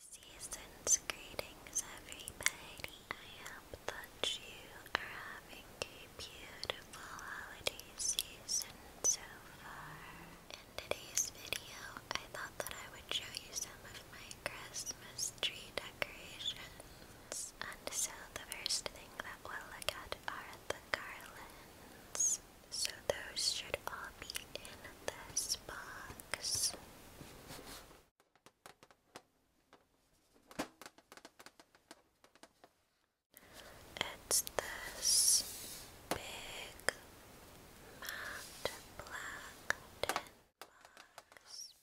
Season's greetings, everybody. I hope that you are having a beautiful holiday season so far. In today's video, I thought that I would show you some of my Christmas tree decorations. And so, the first thing that we'll look at are the garlands. So, those should all be in this box relax. It's this big matte black box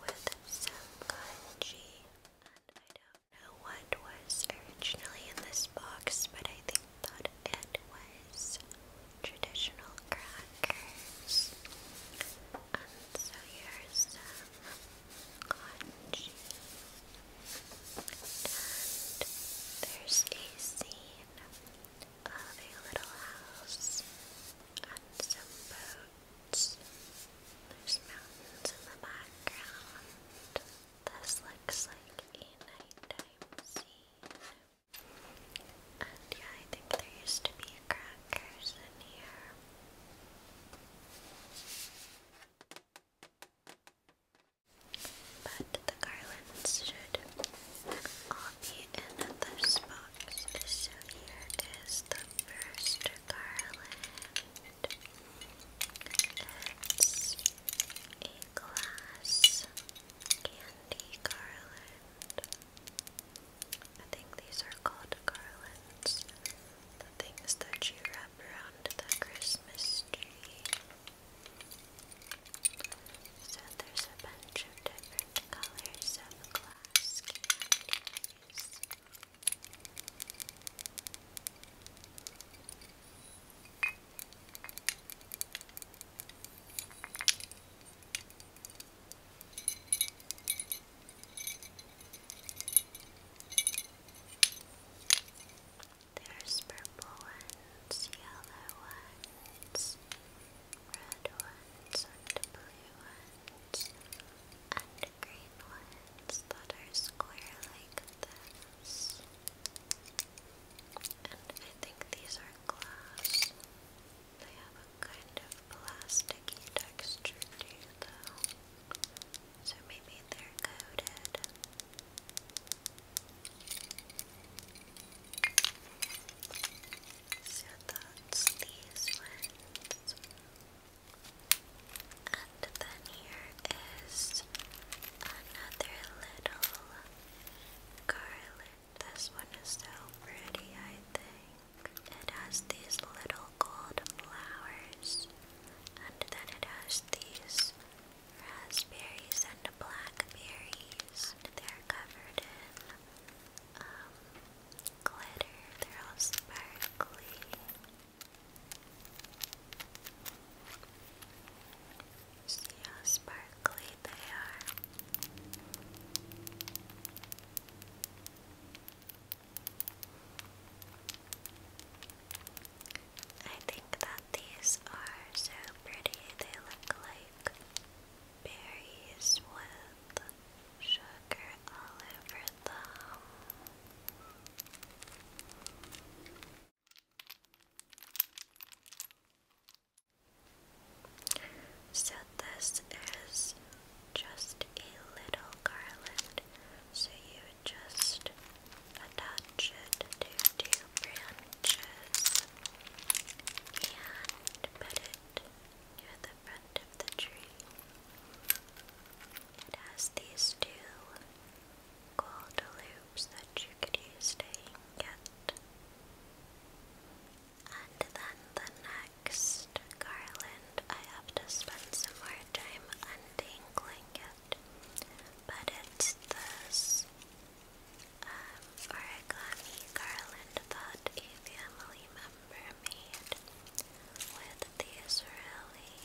with some kanji, and I don't know what was originally in this box, but I think but it was traditional crackers. And so here's And there's a scene of a little house and some boats. There's mountains in the background. This looks like a nighttime scene. And yeah, there used to be crackers in here. But the garlands should all be in this box. So here is the first garland. It's a glass candy garland. I think these are called garlands. The things that you wrap around the Christmas tree. So there's a bunch of different colors of glass there's purple ones, yellow ones, red ones, and blue ones, and green ones that are square like this. And I think these are glass. They have a kind of plasticky texture too, though. So maybe they're coated. So that's these ones. And then here is another little garlic this one is so pretty, I think. It has these little gold flowers, and then it has these raspberries and blackberries. And they're covered in um, glitter, they're all sparkly. See how sparkly they are. I think that these are so pretty. They look like berries with sugar all over them. So this is just a little garland. So you just attach it to two branches and put it near the front of the tree. It has these two gold loops that you could use to get and then the next garland, I have to spend some more time untangling it. But it's this um, origami garland that a family member made with these really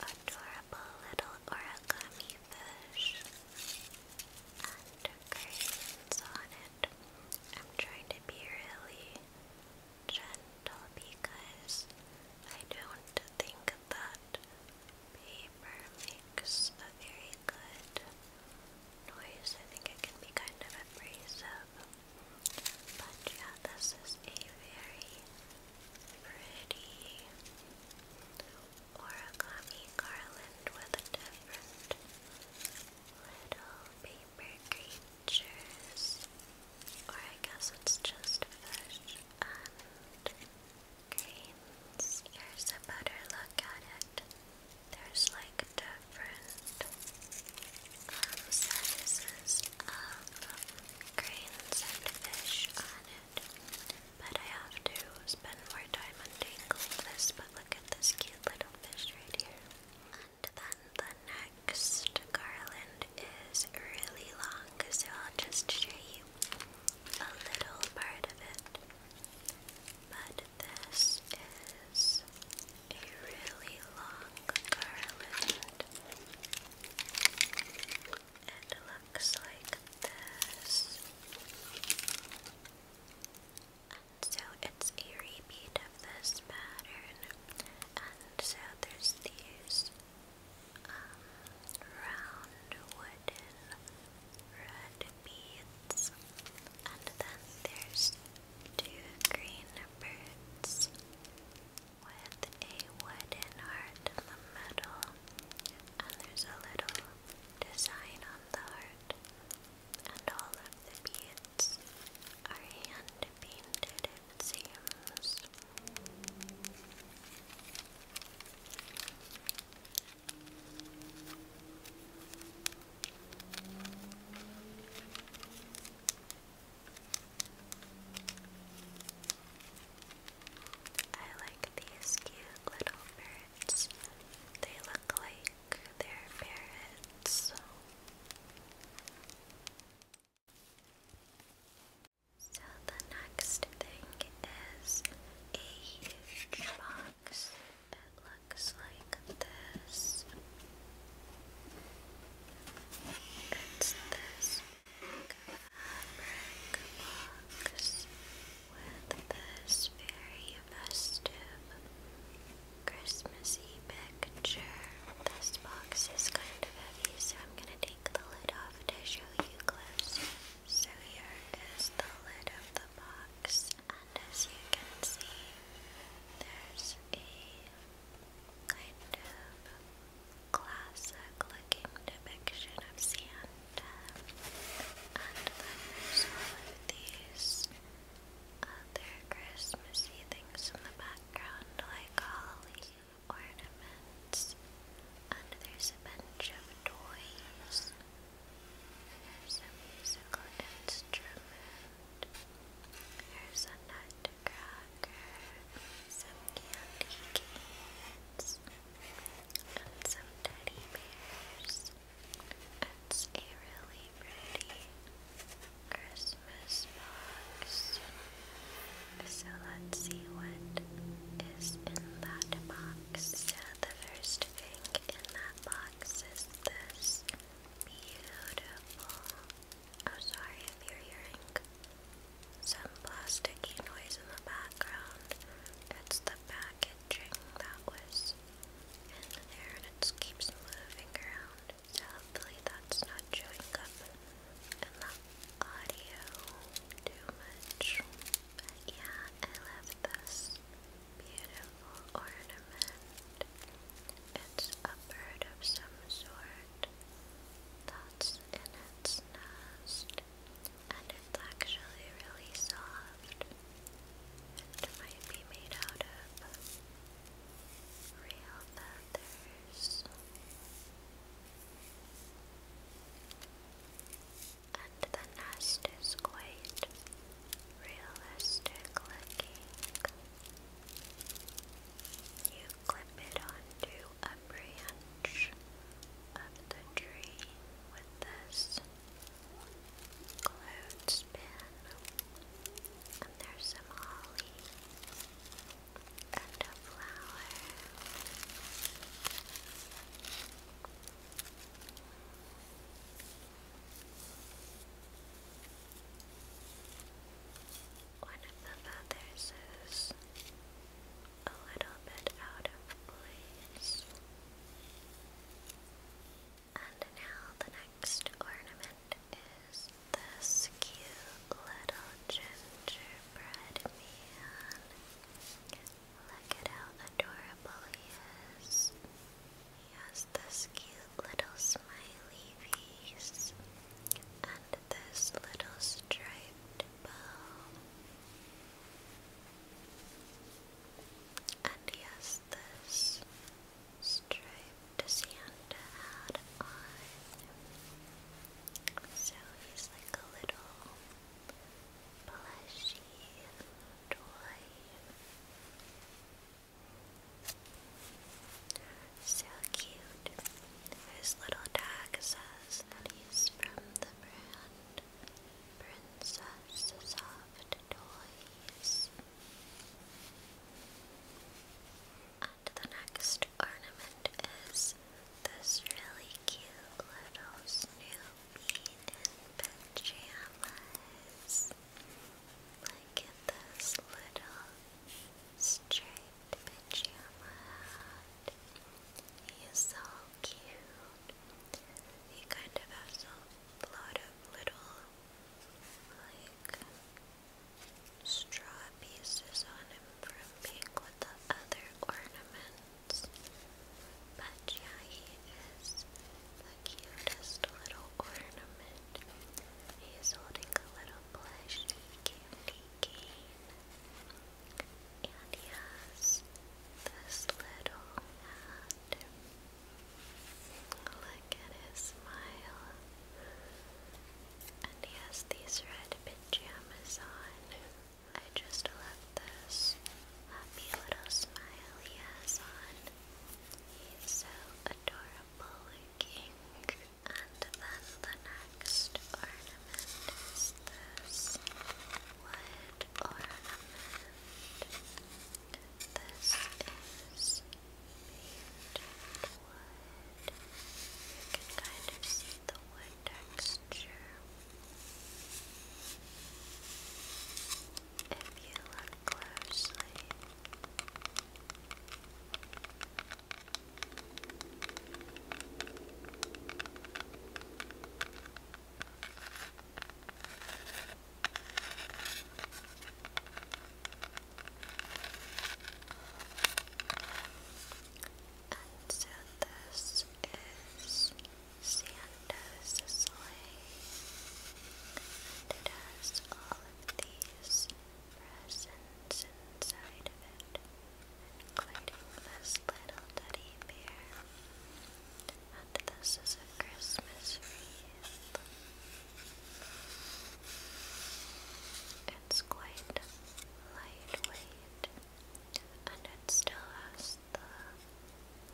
adorable little origami fish curtains on it. I'm trying to be really gentle because I don't think that paper makes a very good noise. I think it can be kind of abrasive. But yeah, this is a very pretty origami garland with a different little paper creatures. Or I guess it's just fish and grains. Here's a better look at it. There's like different sizes of grains and fish on it. But I have to spend more time untangling this, but look at this cute little fish right here. And then the next garland is really long, so I'll just show you a little part of it. But this is a really long garland. It looks like this. And so it's a repeat of this pattern. And so there's these um, round wooden red beads. And then there's two green birds with a wooden heart in the middle. And there's a little design on the heart, and all of the beads are hand painted, it seems. I like these cute little bird they look like they're parrots, so. the next thing is a huge box. It looks like this. It's this big box with this very festive Christmassy picture. This box is kind of heavy, so I'm going to take the lid off to show you close. So here is the lid of the box, and as you can see, there's a kind of classic looking depiction of Santa and there's all of these other Christmassy things in the background, like holly ornaments, and there's a bunch of toys, there's some musical instruments. there's a nutcracker, some candy canes, and some teddy bears. It's a really pretty Christmas box. So let's see what is in that box. So the first thing in that box is this beautiful. Oh, sorry if you're hearing some plasticky noise in the background. It's the bag packaging that was in there and it keeps moving around. So hopefully that's not chewing up in the audio too much. But yeah, I love this beautiful ornament. It's a bird of some sort that's in its nest and it's actually really soft. It might be made out of real feathers. And the nest is quite realistic looking. You clip it onto a branch of the tree with this Cloudspin, and there's some holly, and a flower. One of the feathers is a little bit out of place. And now the next ornament is this cute little gingerbread man. Look at how adorable he is. He has this cute little smiley face and this little striped bow. And he has this striped Santa hat on. So he's like a little plushy toy. So cute. His little tag says that he's from the brand Princess Soft Toys. And the next ornament is this really cute little Snoopy in pajamas. Look at this little striped pajama hat. He is so cute. He kind of has a lot of little, like, straw pieces on him from being with the other ornaments. But yeah, he is the cutest little ornament. He's holding a little plush candy cane. And he has this little hat. Look at his smile. And he has these red pajamas on. I just love this happy little smile he has on. He's so adorable looking. And then the next ornament is this wood ornament. This is painted wood. You can kind of see the wood texture. If you look closely. And so this is Santa's sleigh, and it has all of these presents inside of it, including this little teddy bear. And this is a Christmas wreath. It's quite lightweight and it still has the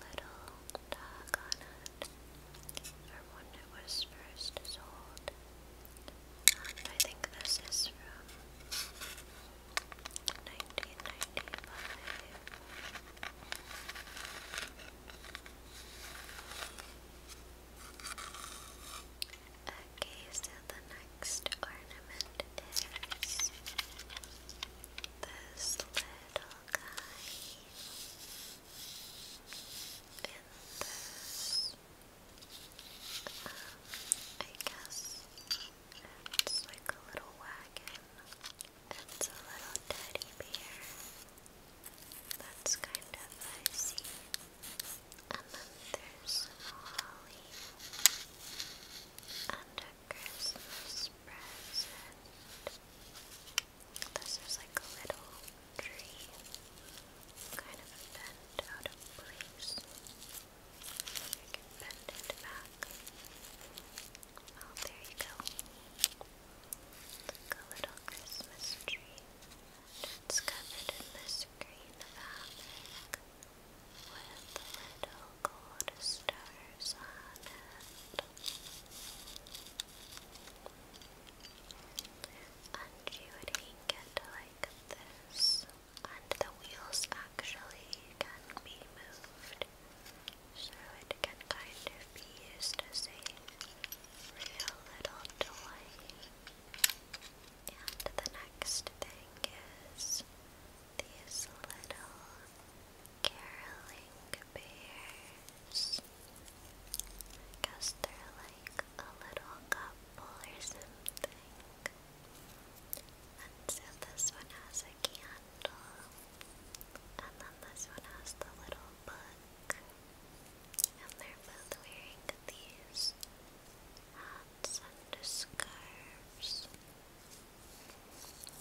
little tag on it from when it was first sold. And I think this is from Okay, so the next ornament is this little guy and I guess it's like a little wagon. That's a little teddy bear. That's kind of icy. And then there's holly. And Christmas present. This is like a little tree. Kind of bent out of place. You bend it back. Oh, there you go. Like a little Christmas tree. It's covered in this green fabric with little gold stars on it. And you would hang like this. And the wheels actually can be moved so it can kind of be used as a real little toy. And the next thing is these little caroling bears. I guess they're like a little couple or something. And so this one has a candle. And then this one has the little book. And they're both wearing these hats and scarves.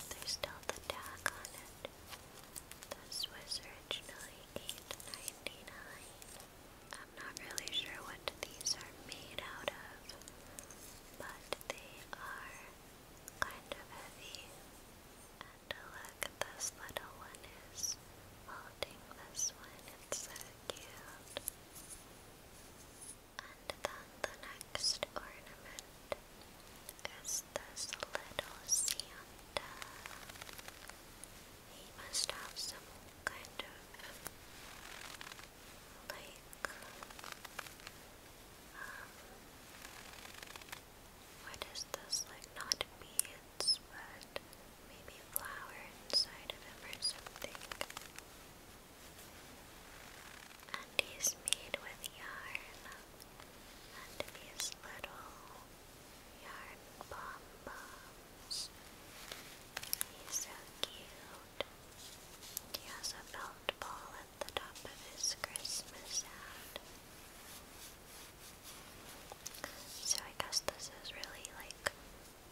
There's still the tag on it. This was originally I'm not really sure what these are made out of, but they are kind of heavy. And look, this little one is holding this one. It's so cute. And then the next ornament is this little Santa. He must have some kind of like um, what is this? Like not beads, but maybe flowers inside of him or something. And he's made with yarn. And he's little yarn pom He's so cute. He has a belt ball at the top of his Christmas hat. So I guess this is really like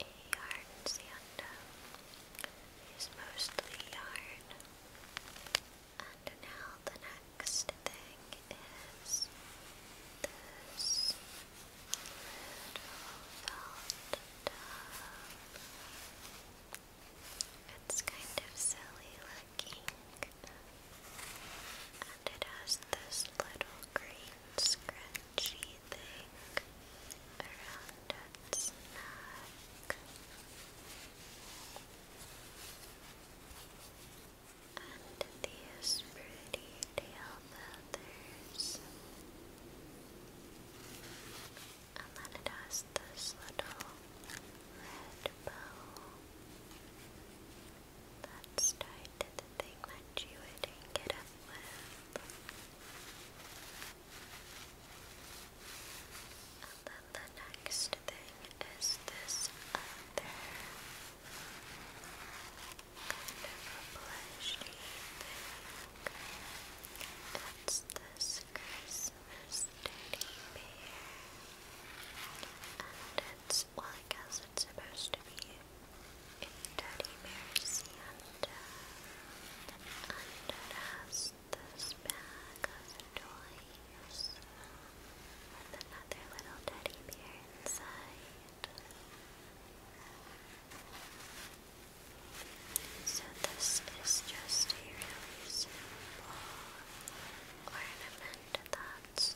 a yarn Santa. It's mostly yarn. And now the next thing is this little felt tub. It's kind of silly looking. And it has this little green scrunchy thing around its neck. And these pretty tail feathers. And then it has this little red bow that's tied to the thing that you wouldn't up with. And then the next thing is this other kind of a thing. It's this Christmas teddy bear. And it's, well, I guess it's supposed to be in Teddy Bear Santa. And this bag of toys with another little teddy bear inside. So this is just a really simple ornament that's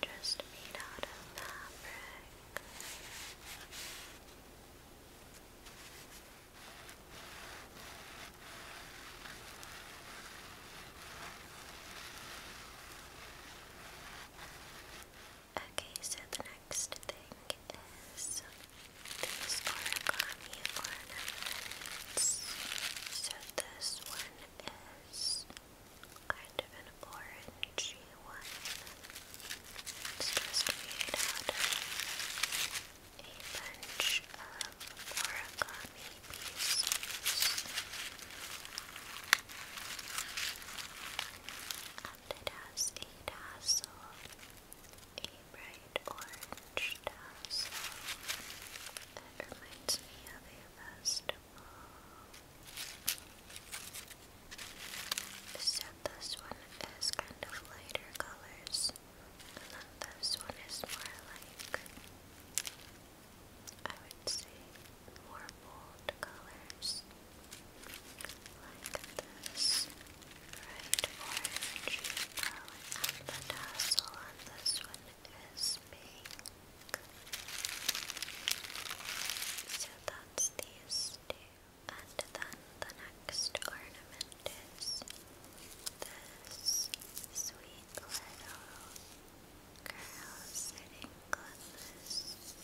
just made out of fabric. Okay, so the next thing is those origami ornaments. So this one is kind of an orangey one. It's just made out of a bunch of origami pieces. And it has a tassel, bright orange tassel. It reminds me of a festival. So this one is kind of lighter colors, and then this one is more like, I would say, more bold colors. Like this. Bright orange yellow and the tassel on this one is pink. So that's these two. And then the next ornament is this sweet little girl sitting on this wreath.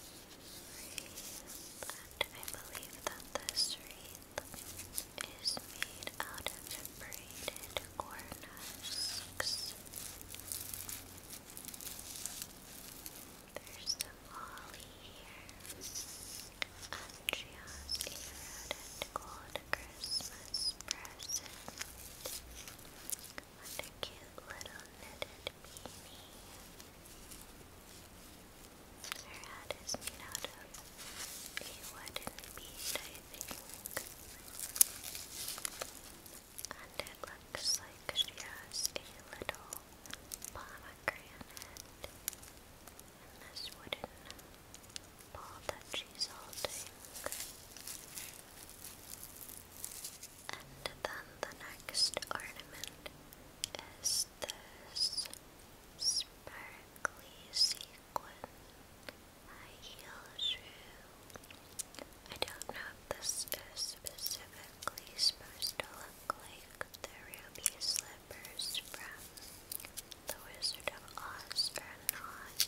And I believe that this wreath is made out of braided corn husks. There's some holly here. Andrea's eroded gold Christmas present. What a cute little knitted beanie. Her hat is made out of a wooden bead, I think. And it looks like she has a little pomegranate in this wooden ball that she's holding. And then the next ornament is this sparkly sea Penguin. I heal I don't know if this is specifically supposed to look like the ruby slippers from The Wizard of Oz or not,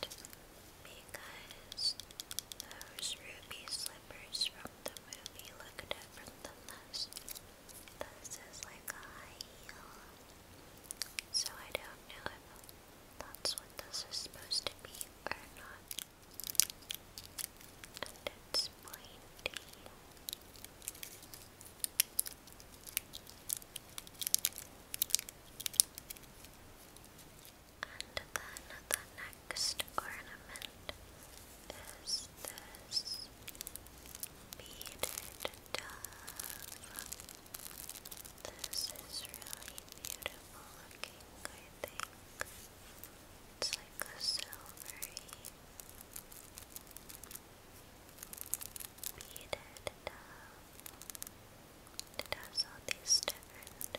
because those ruby slippers from the movie look different than this. This is like a high heel. So I don't know if that's what this is supposed to be or not. it's pointy. And then the next ornament is this beaded dove. This is really beautiful looking, I think. It's like a silvery beaded dove. It has all these different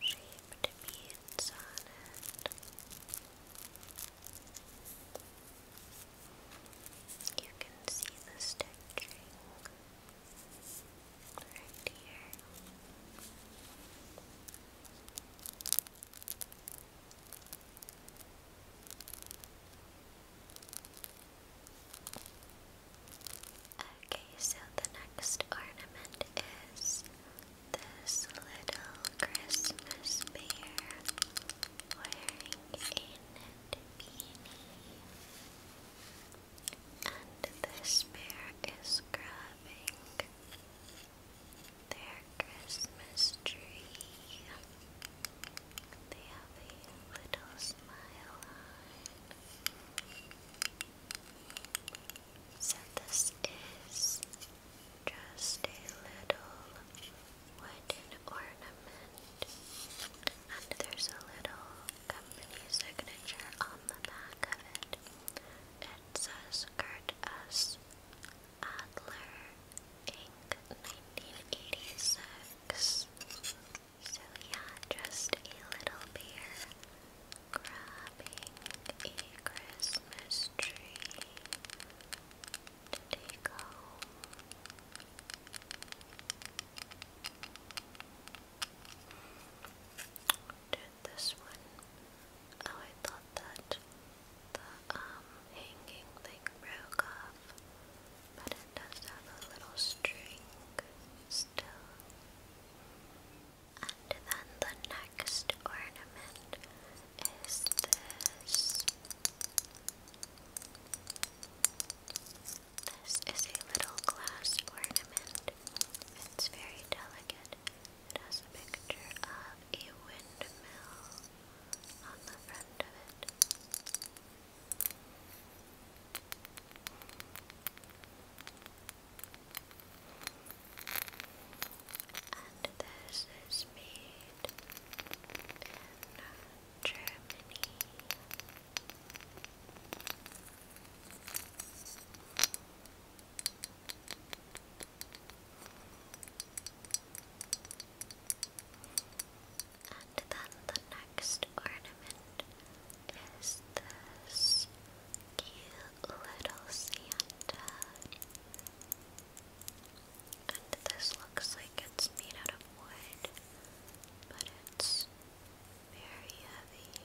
shaped beads on it. You can see the stitching right here. Okay, so the next ornament is this little Christmas bear wearing a and this bear is grabbing their Christmas tree. They have a little smile on. So this is just a little wooden ornament, and there's a little company signature on the back of it. It says Kurt Adler, Inc., 1986. So, yeah, just a little beer grabbing a Christmas tree. There you go. Did this one? Oh, I thought that the um, hanging thing broke off, but it does have a little string still. And then the next ornament is this this is a little glass ornament. It's very delicate. It has a picture of a windmill on the front of it. And this is made in Germany. And then the next ornament is this cute little Santa. And this looks like it's made out of wood, but it's very heavy.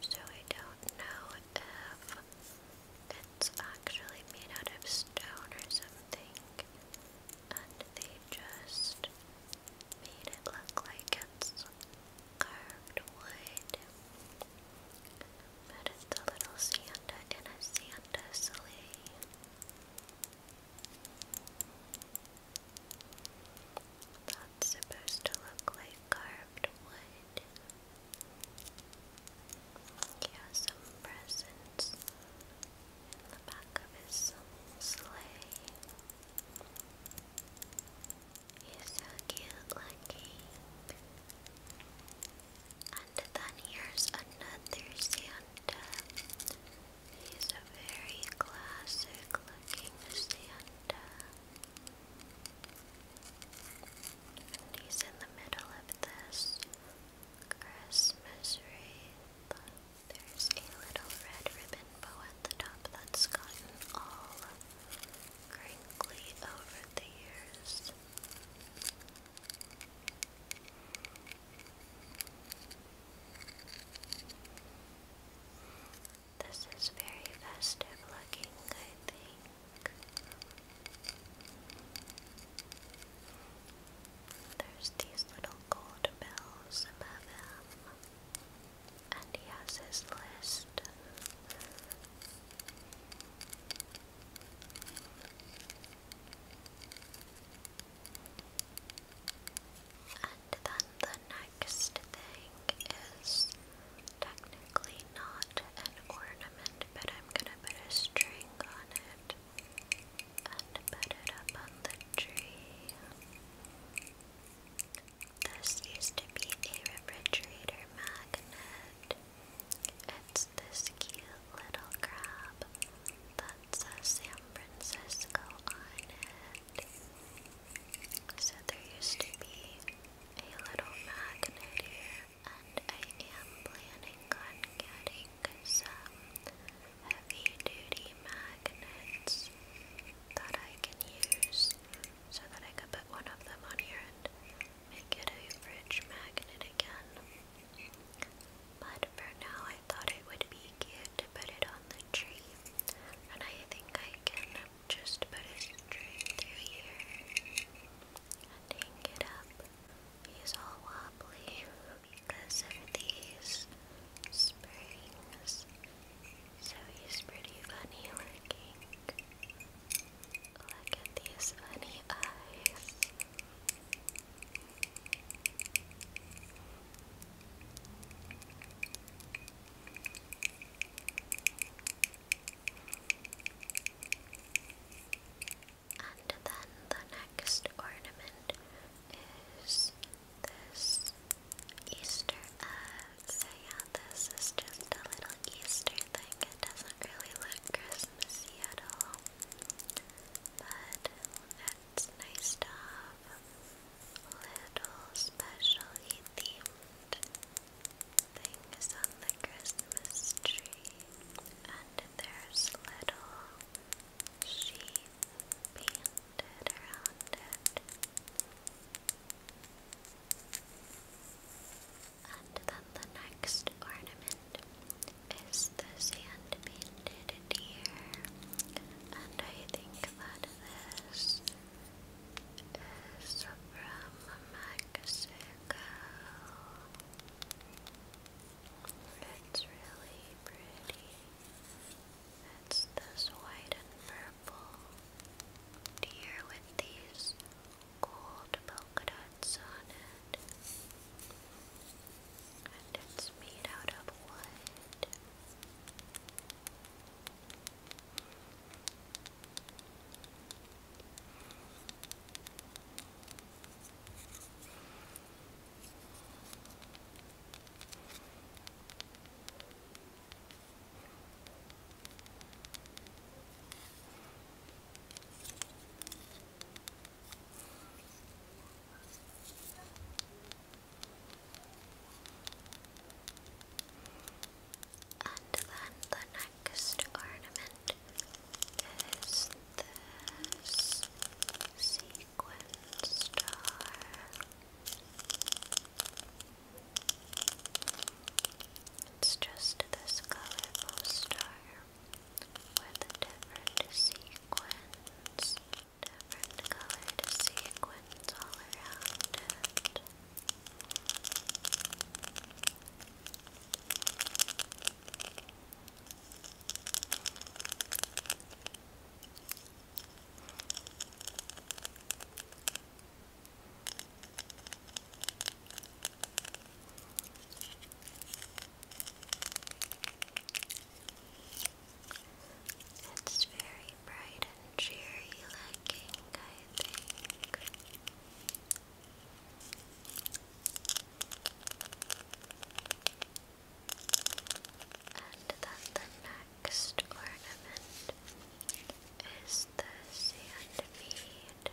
So I don't know if it's actually made out of stone or something. And they just made it look like it's carved wood. But it's a little Santa in a Santa that's supposed to look like carved wood. He has some presents in the back of his sleigh. He's so cute looking. I then here's another Santa. He's a very classic looking Santa. And he's in the middle of this Christmas wreath. There's a little red ribbon bow at the top that's gotten all crinkly over the years. This is very festive looking, I think. There's these little gold bells above him, and he has his list. And then the next thing is technically not an ornament, but I'm gonna put a string on it and put it up on the tree. This used to be a refrigerator magnet. It's this cute little crab that says San Francisco on it. So there used to be a little magnet here, and I am planning on getting some heavy duty magnets that I can use so that I could put one of them on here and make it a fridge magnet again. But for now, I thought it would be cute to put it on the tree, and I think I can just put it straight through here and hang it up. He's all wobbly because of these springs, so he's pretty funny looking. Look at these funny eyes. And then the next ornament is this Easter uh, egg. this is just a little Easter thing. It doesn't really look Christmassy at all. But that's nice to little specially themed things on the Christmas tree. And there's little sheep painted around it. And then the next ornament it's the sand painted deer, and I think that this is from Mexico. It's really pretty. It's this white and purple deer with these gold polka dot knots on And it's made out of wood. And then the next ornament is this sequin star. It's just this colorful star with a different sequence, different colored sequins all around it. It's very bright and cheery looking, I And then the next ornament is the sandmead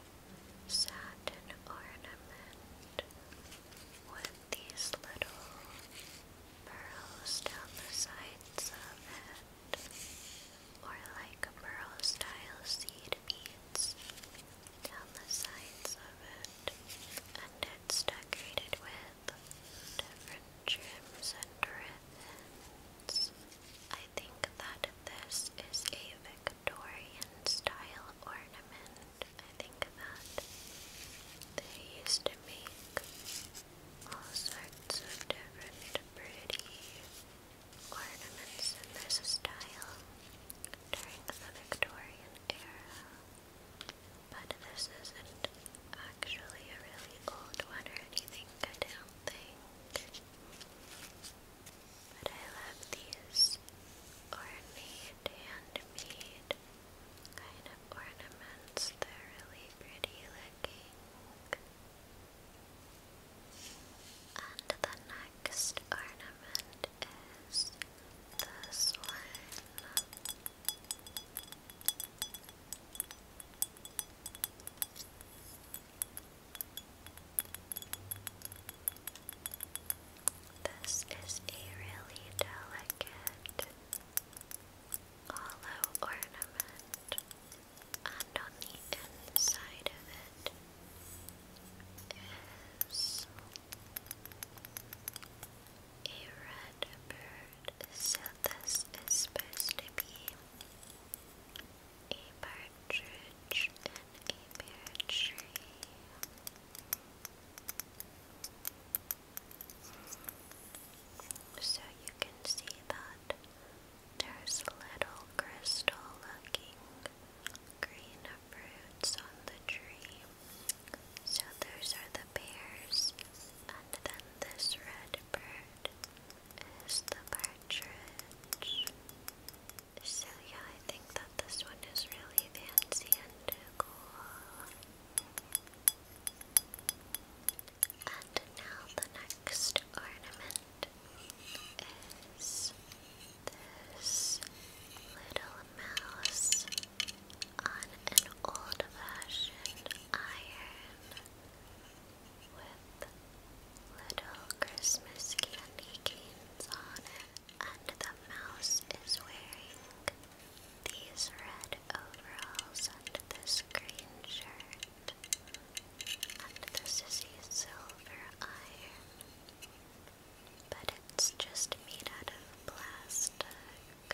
satin ornament with these little burrows down the sides of it, or like burrow style seed beads down the sides of it, and it's decorated with different trims and ribbons. I think that this is a Victorian style ornament, I think that they used to make all sorts of different pretty ornaments and there's a style during the Victorian era. But this isn't actually a really old one or anything, I don't think but I love these ornate, handmade kind of ornaments. They're really pretty looking. And the next ornament is this one. This is a really delicate hollow ornament, and on the inside of it is a red bird. So, this is supposed to be a partridge in a pear tree. So you can see that there's little crystal looking green fruits on the tree. So those are the pears, and then this red bird is the partridge. So yeah, I think that this one is really fancy and cool. And now the next ornament is this little mouse on an old-fashioned iron with little Christmas candy canes on it and the mouse is wearing these red overalls and this green shirt, and the sissy silver iron, but it's just made out of plastic.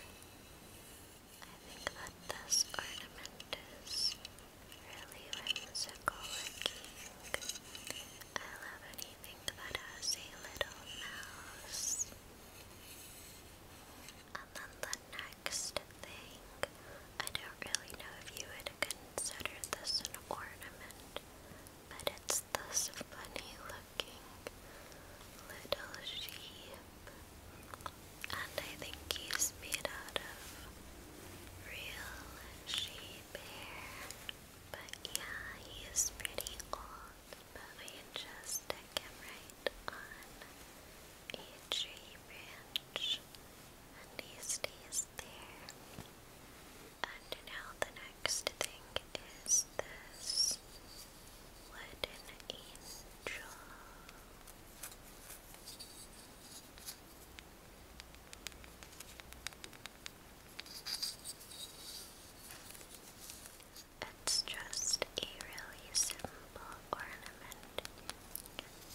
I think that this ornament is really whimsical I love any think about us a little mouse. And then the next thing, I don't really know if you would consider this an ornament, but it's this funny looking little sheep. And I think he's made out of real sheep hair. But yeah, he is pretty old, but we just stick him right on each tree branch and he stays there. And now the next thing is this wooden angel. It's just a really simple ornament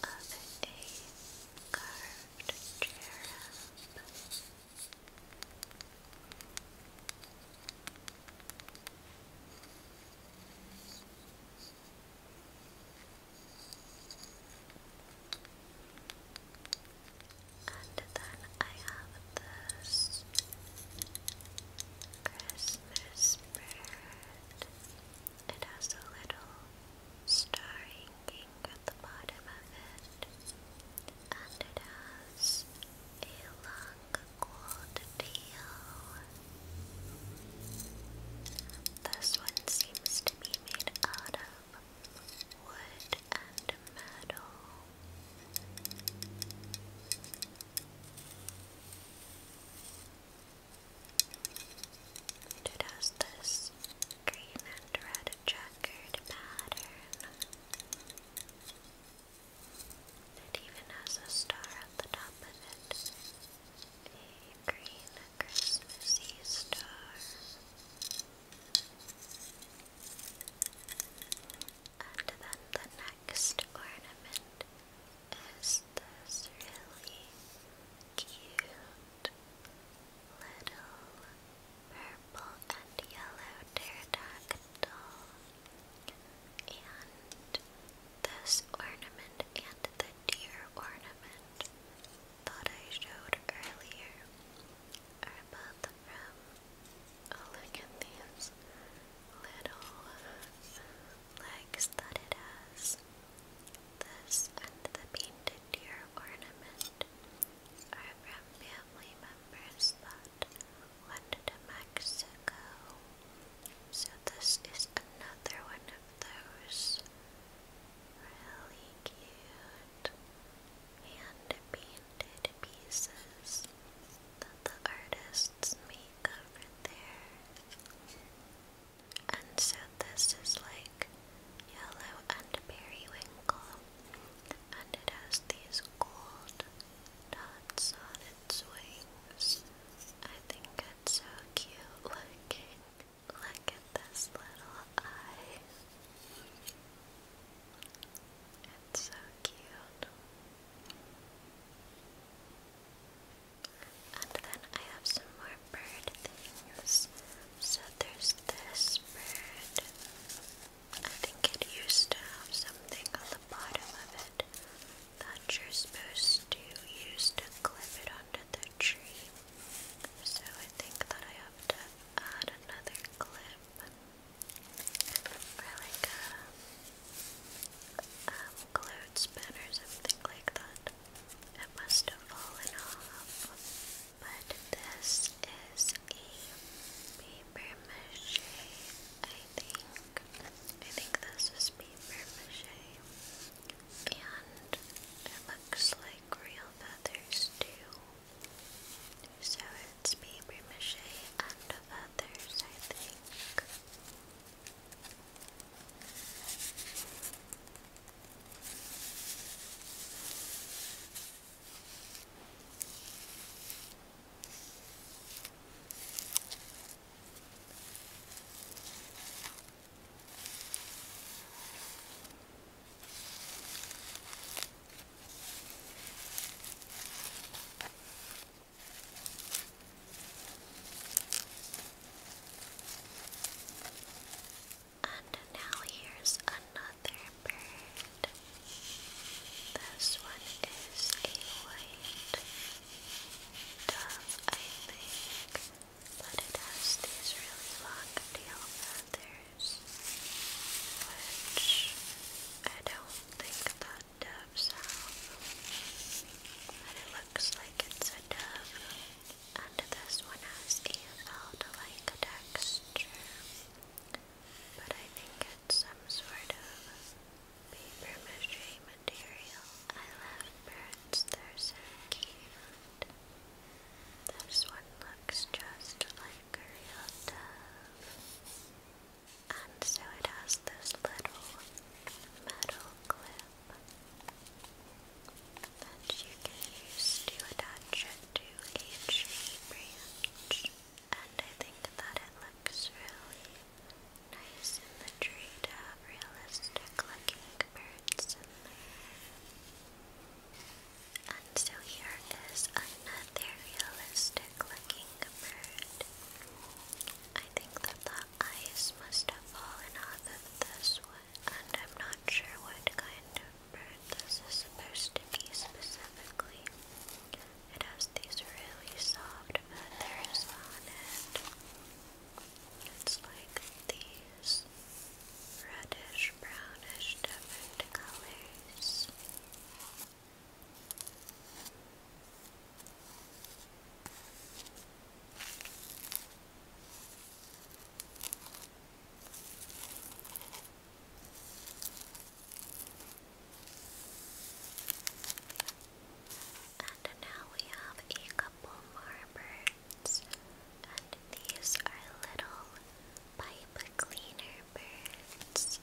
of a carved cherub. And then I have this Christmas bird. It has a little star hanging at the bottom of it. And it has a long gold tail. This one seems to be made out of it has this green and red checkered pattern. It even has a star at the top of it. A green Christmassy star. And then the next ornament is this really cute little purple and yellow pterodactyl. And this ornament and the deer ornament that I showed earlier are both from Oh, look at these little legs that it has. This and the painted deer ornament are from family members that went to Mexico. So, this is another one of those. Really cute hand painted pieces that the artists make over there. And so this is like yellow and periwinkle, and it has these gold dots on its wings. I think it's so cute looking. Look at this little eye. It's so cute. And then I have some more bird things. So there's this bird. I think it used to have something on the bottom of it that you're supposed to use to clip it onto the tree. So I think that I have to add another clip for like um, cloud spin or something like that. It must have fallen off. But this is a paper mache, I think. I think this is paper mache. And it looks like real feathers too. So it's paper mache and feathers, I think. And now here's another bird. This one is a white dove, I think, but it has these really long tail feathers which I don't think that doves have, it looks like it's a dove, and this one has EFL-like texture, but I think it's some sort of paper mache material. I love birds, they're This one looks just like figure And so it has this little metal clip that you can use to attach it to each branch. And I think that it looks really nice in the tree to have realistic looking birds in there. And so here is another realistic looking bird. I think that the eyes must have fallen off of this one, and I'm not sure what kind of bird this is supposed to be specifically. It has these really soft feathers on it. It's like these reddish, brownish, different colors. And now we have a couple more and these are little pipe cleaner birds.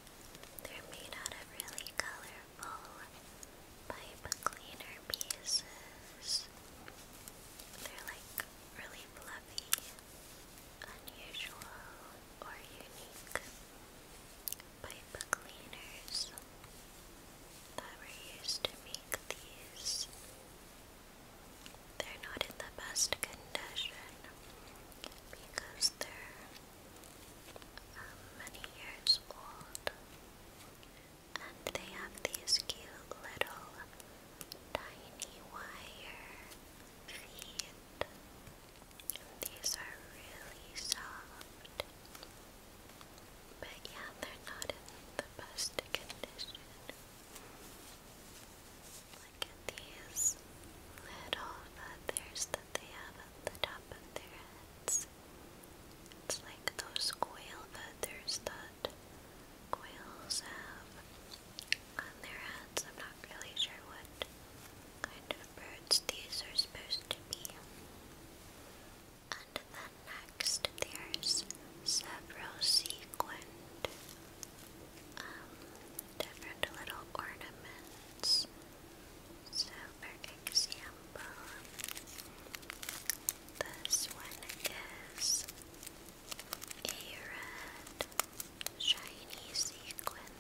They're made out of really colorful pipe cleaner pieces. They're like really fluffy, unusual, or unique pipe cleaners that were used to make these they're not in the best condition because they're um, many years old and they have these cute little tiny wire feet. these are really soft. But yeah, they're not in the best condition. Look at these little feathers that they have at the top of their heads. It's like those quail feathers that quails have on their heads. I'm not really sure what kind of birds these are supposed to be. And then next, there's several sequined um, different little ornaments. So, for example, this one is a red shiny sequin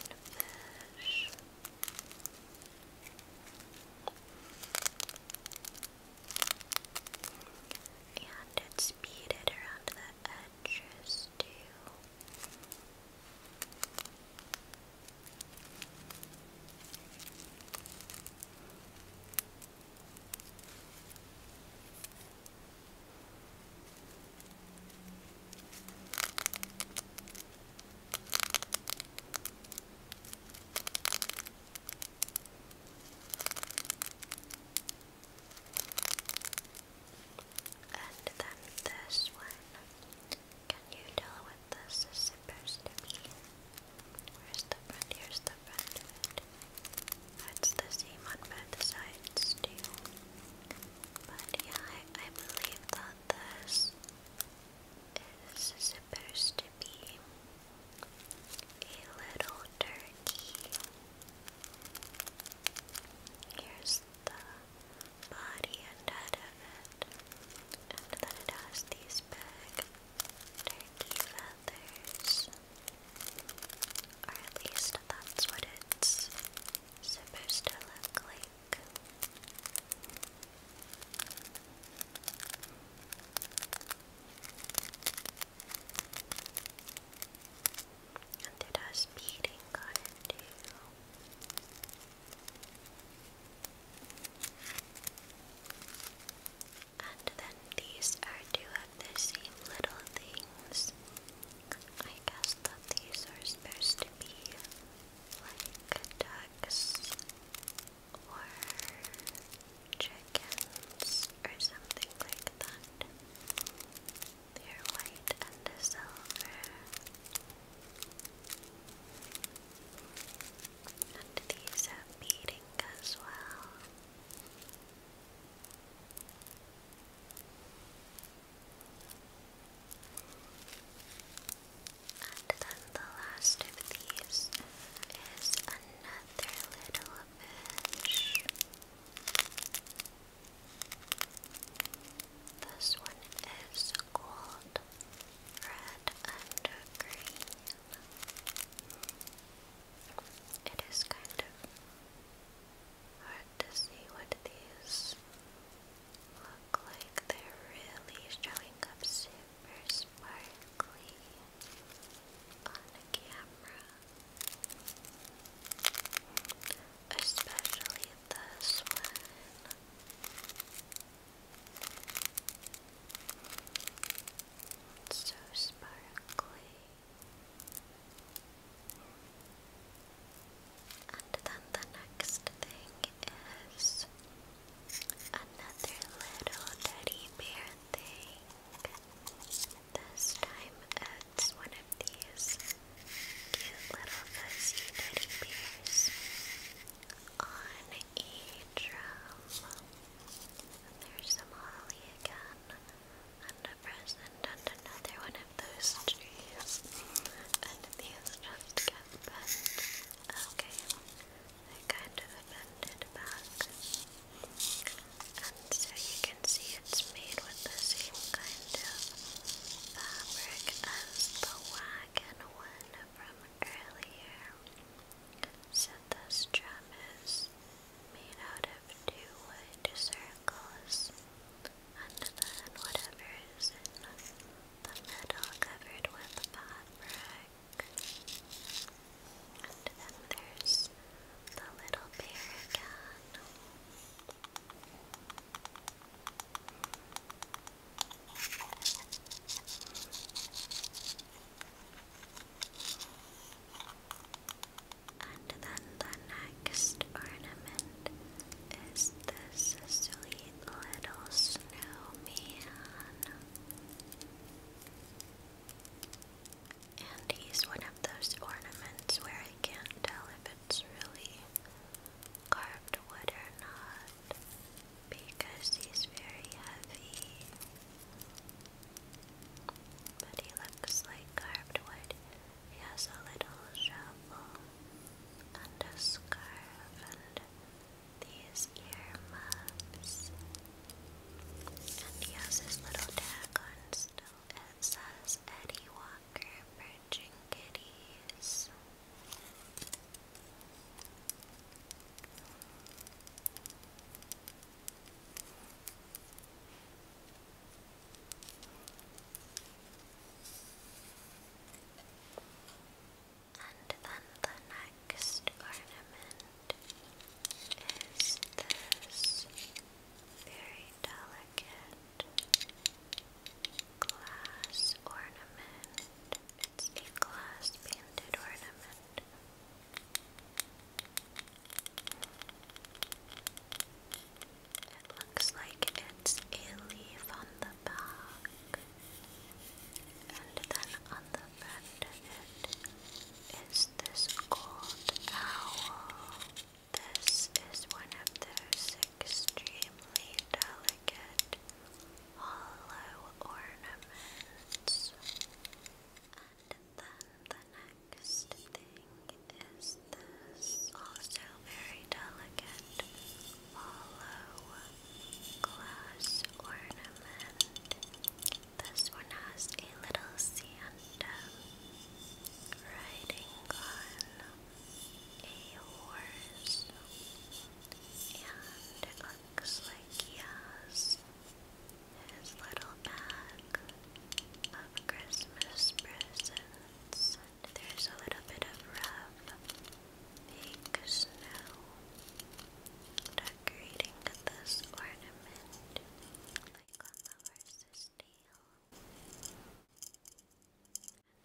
And it's beaded around the address to and then this one. Can you tell what this is supposed to be? Where's the front? Here's the front That's the same on both sides too. But yeah, I, I believe that this is supposed to be a little turkey. Here's the body and head of it, and then it has these big turkey feathers, or at least that's what it's supposed to look like. And did our speeding it too? And then these are two of the same little things. I guess that these are supposed to be like ducks or chickens or something like that. They're white and silver. And these have beading as well. And then the last of these is another little fish. This one is called red, and green. It is kind of hard to see what these look like. They're really showing up super sparkly on camera. Especially this one. so sparkly. And then the next thing is another little teddy bear thing. This time it's one of these cute little fuzzy teddy bears on a drum. there's some holly again, and a present, and another one of those trees. And these just get bent. Okay, they kind of bended back. And so you can see it's made with the same kind of fabric as the wagon one from earlier. So this drum is made out of two wood circles, and then whatever is in the middle covered with fabric. And then there's the little bear again. And then the next ornament is this sweet little snowman. And he's one of those ornaments where I can't tell if it's really carved wood or not because he's very heavy. But he looks like carved wood. He has a little shovel and a scarf and these earmuffs. And he has his little tag on still it says Eddie Walker Perching Kitties. And then the next ornament is this very delicate glass ornament. It's a glass painted ornament. It looks like it's a leaf on the back, and then on the front it is this gold owl. This is one of those extremely delicate hollow ornaments. And then the next thing is this also very delicate hollow glass ornament. This one has a little seal riding on a horse, and looks like he his little bag of Christmas presents. there's a little bit of rough fake snow decorating this ornament, like on the horse's and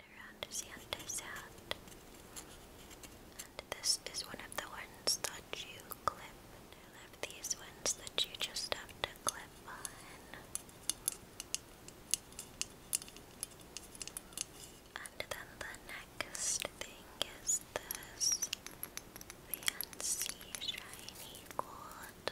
around as the other sound. this is one of the ones that you clip. And I these ones that you just have to clip on. And then the next thing is this fancy shiny gold.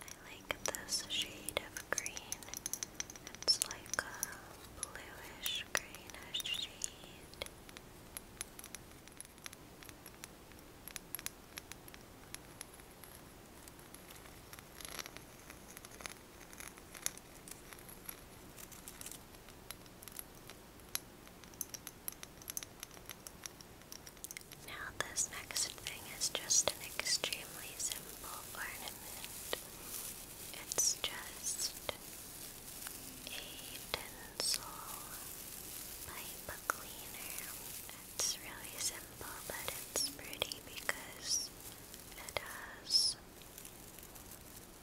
I like this shade of green. It's like a bluish greenish shade. Now, this next thing is just an extremely simple ornament. It's just a tinsel pipe cleaner. It's really simple, but it's pretty because it does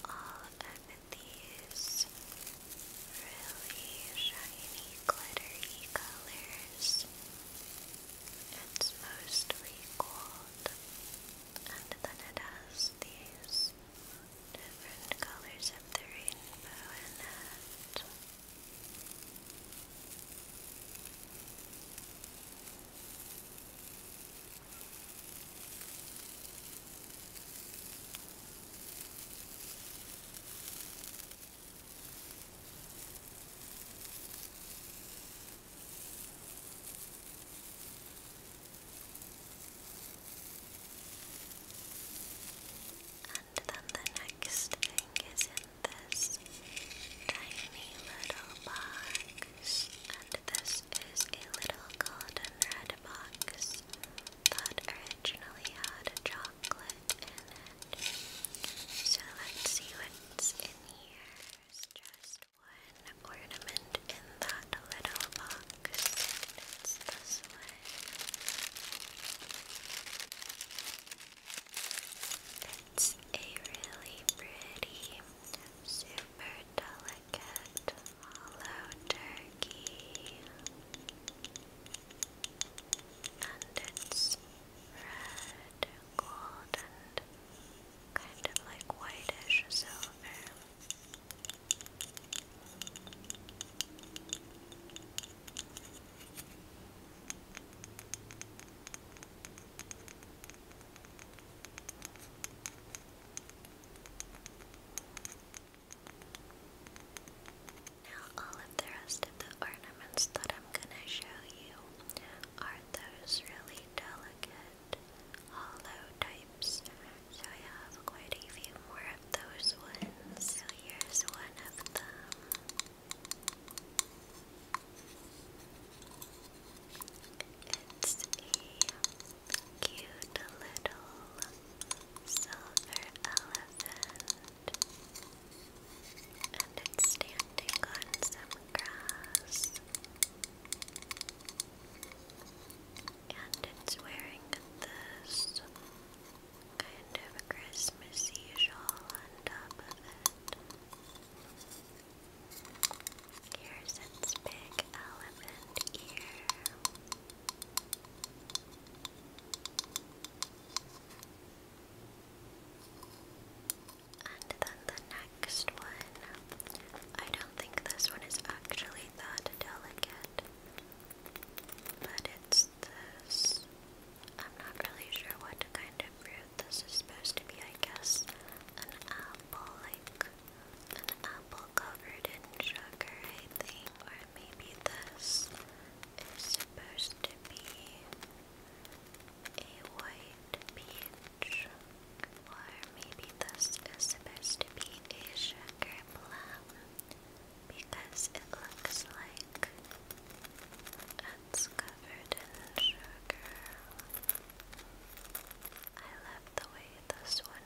all of these really shiny, glittery colors. It's mostly gold, and then it has these different colors of the rainbow in it. And then the next thing is in this tiny little box, and this is a little golden red box that originally had chocolate So let's see what's in here. There's just one ornament in that little box, and it's one. It's a really pretty, super delicate hollow turkey, and it's red, gold, kind of like whitish silver. Now, all of the rest of the ornaments that I'm gonna show you are those really delicate hollow types. So I have quite a few more of those ones. So here's one of them. It's a Cute little silver elephant. And it's standing on some grass. And it's wearing this kind of a Christmassy top Here's its big elephant ear. And then the next one. I don't think this one is actually that delicate, but it's this. I'm not really sure what kind of fruit this is supposed to be. I guess an apple, like an apple covered in sugar, I think. Or maybe this is supposed to be a white peach. Or maybe this is supposed to be a sugar plum because it looks like it's covered in sugar. I love the way this one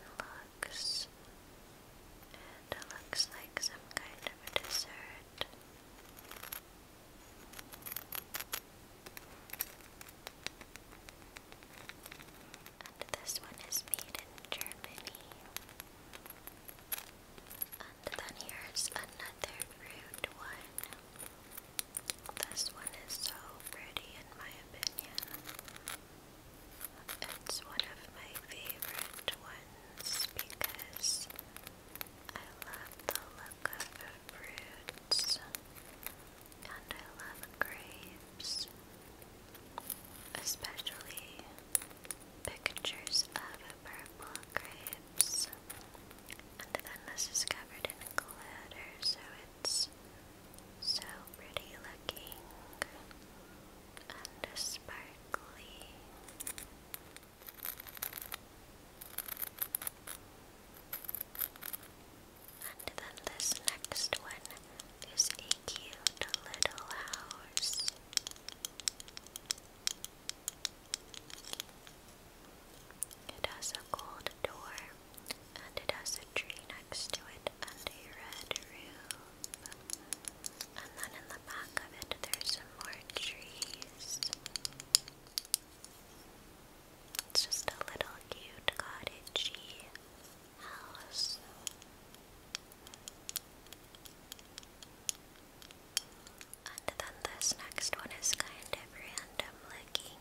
box. it looks like some kind of a dessert. And this one is made in Germany. And then here's another rude one. This one is so pretty in my opinion. It's one of my favorite ones because I love the look of fruits and I love grapes, especially pictures of purple grapes. And then this is covered in glitter, so it's so pretty looking and sparkly. And then this next one is a cute little house. It has a gold door and it has a tree next to it and a red roof. And then in the back of it, there's some more trees. It's just a little cute cottagey house. And then this next one is kind of random looking.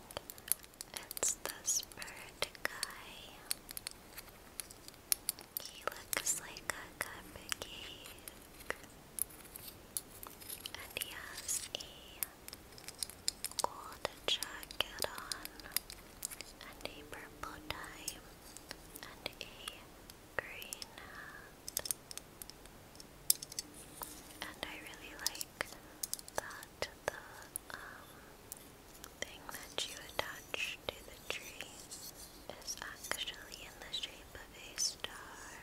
It's the spirit guy. He looks like a cupcake. And he has a gold jacket on, and a purple tie, and a green hat. And I really like that the um, thing that you attach to the tree is actually in the shape of a star.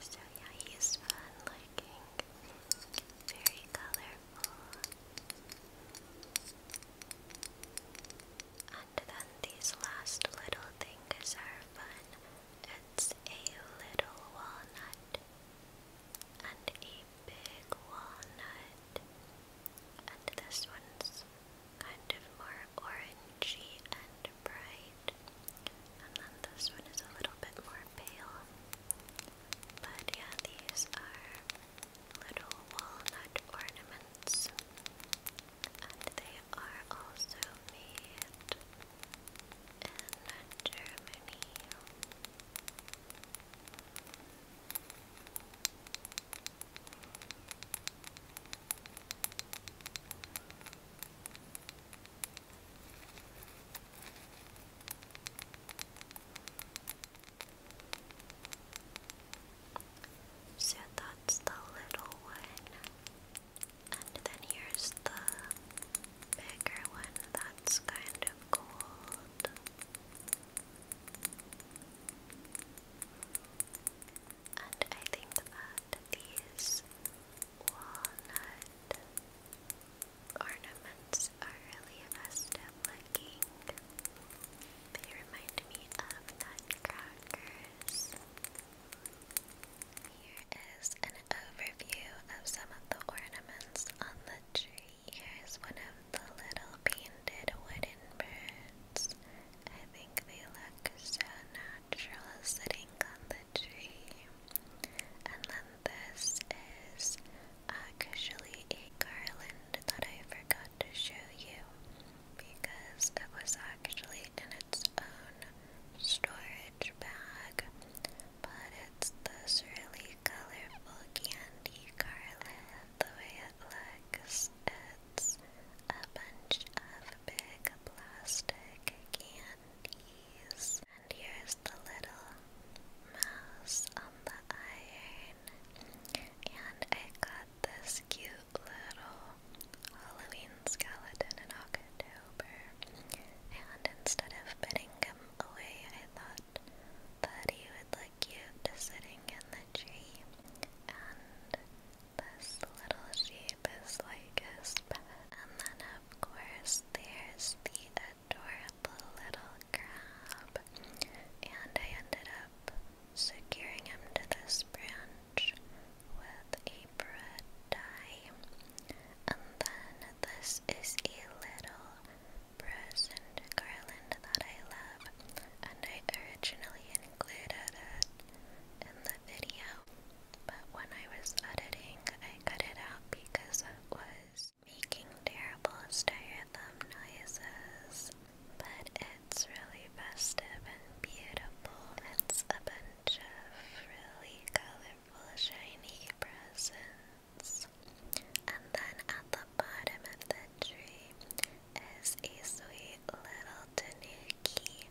So yeah, he's fun looking, very colorful. And then these last little things are fun. It's a little walnut and a big walnut. And this one's kind of more orangey and bright. And then this one is a little bit more pale. But yeah, these are little walnut ornaments. And they are also made and Germany. So that's the little one, and then here's the bigger one that's kind of gold. And I think that these walnut ornaments are really festive looking. They remind me of nutcrackers is an overview of some of the ornaments on the tree. Here's one of the little painted wooden birds. I think they look so natural sitting on the tree. And then this is actually a garland that I forgot to show you because it was actually in its own storage bag. But it's this really colorful candy garland. The way it looks, it's a bunch of big plastic candies. And here's the little mouse on the iron. And I got this cute little Halloween skeleton in October. And instead of putting him away, I thought that he would look cute sitting in the tree, and this little sheep is like a pet. And then, of course, there's the adorable little crab, and I ended up securing him to this branch with a bread die. And then this is a little present garland that I love, and I originally included it in the video, but when I was editing, I cut it out because it was making terrible styrofoam noises. But it's really festive and beautiful. It's a bunch of really colorful, shiny presents. And then at the bottom of the tree is a sweet little tanuki.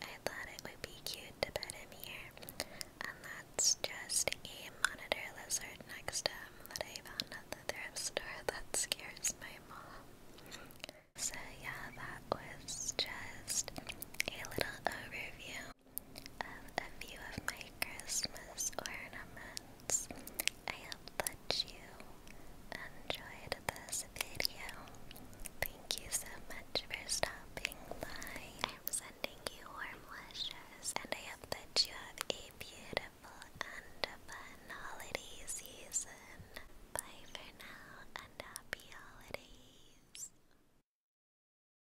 I thought it would be cute to put him here. And that's just a monitor lizard next to him that I found at the thrift store that scares my mom. So yeah, that was just a little overview of a few of my Christmas ornaments. I hope that you enjoyed this video. Thank you so much for stopping by. I'm sending you warm wishes, and I hope that you have a beautiful and fun holiday season. Bye for now, and happy holidays.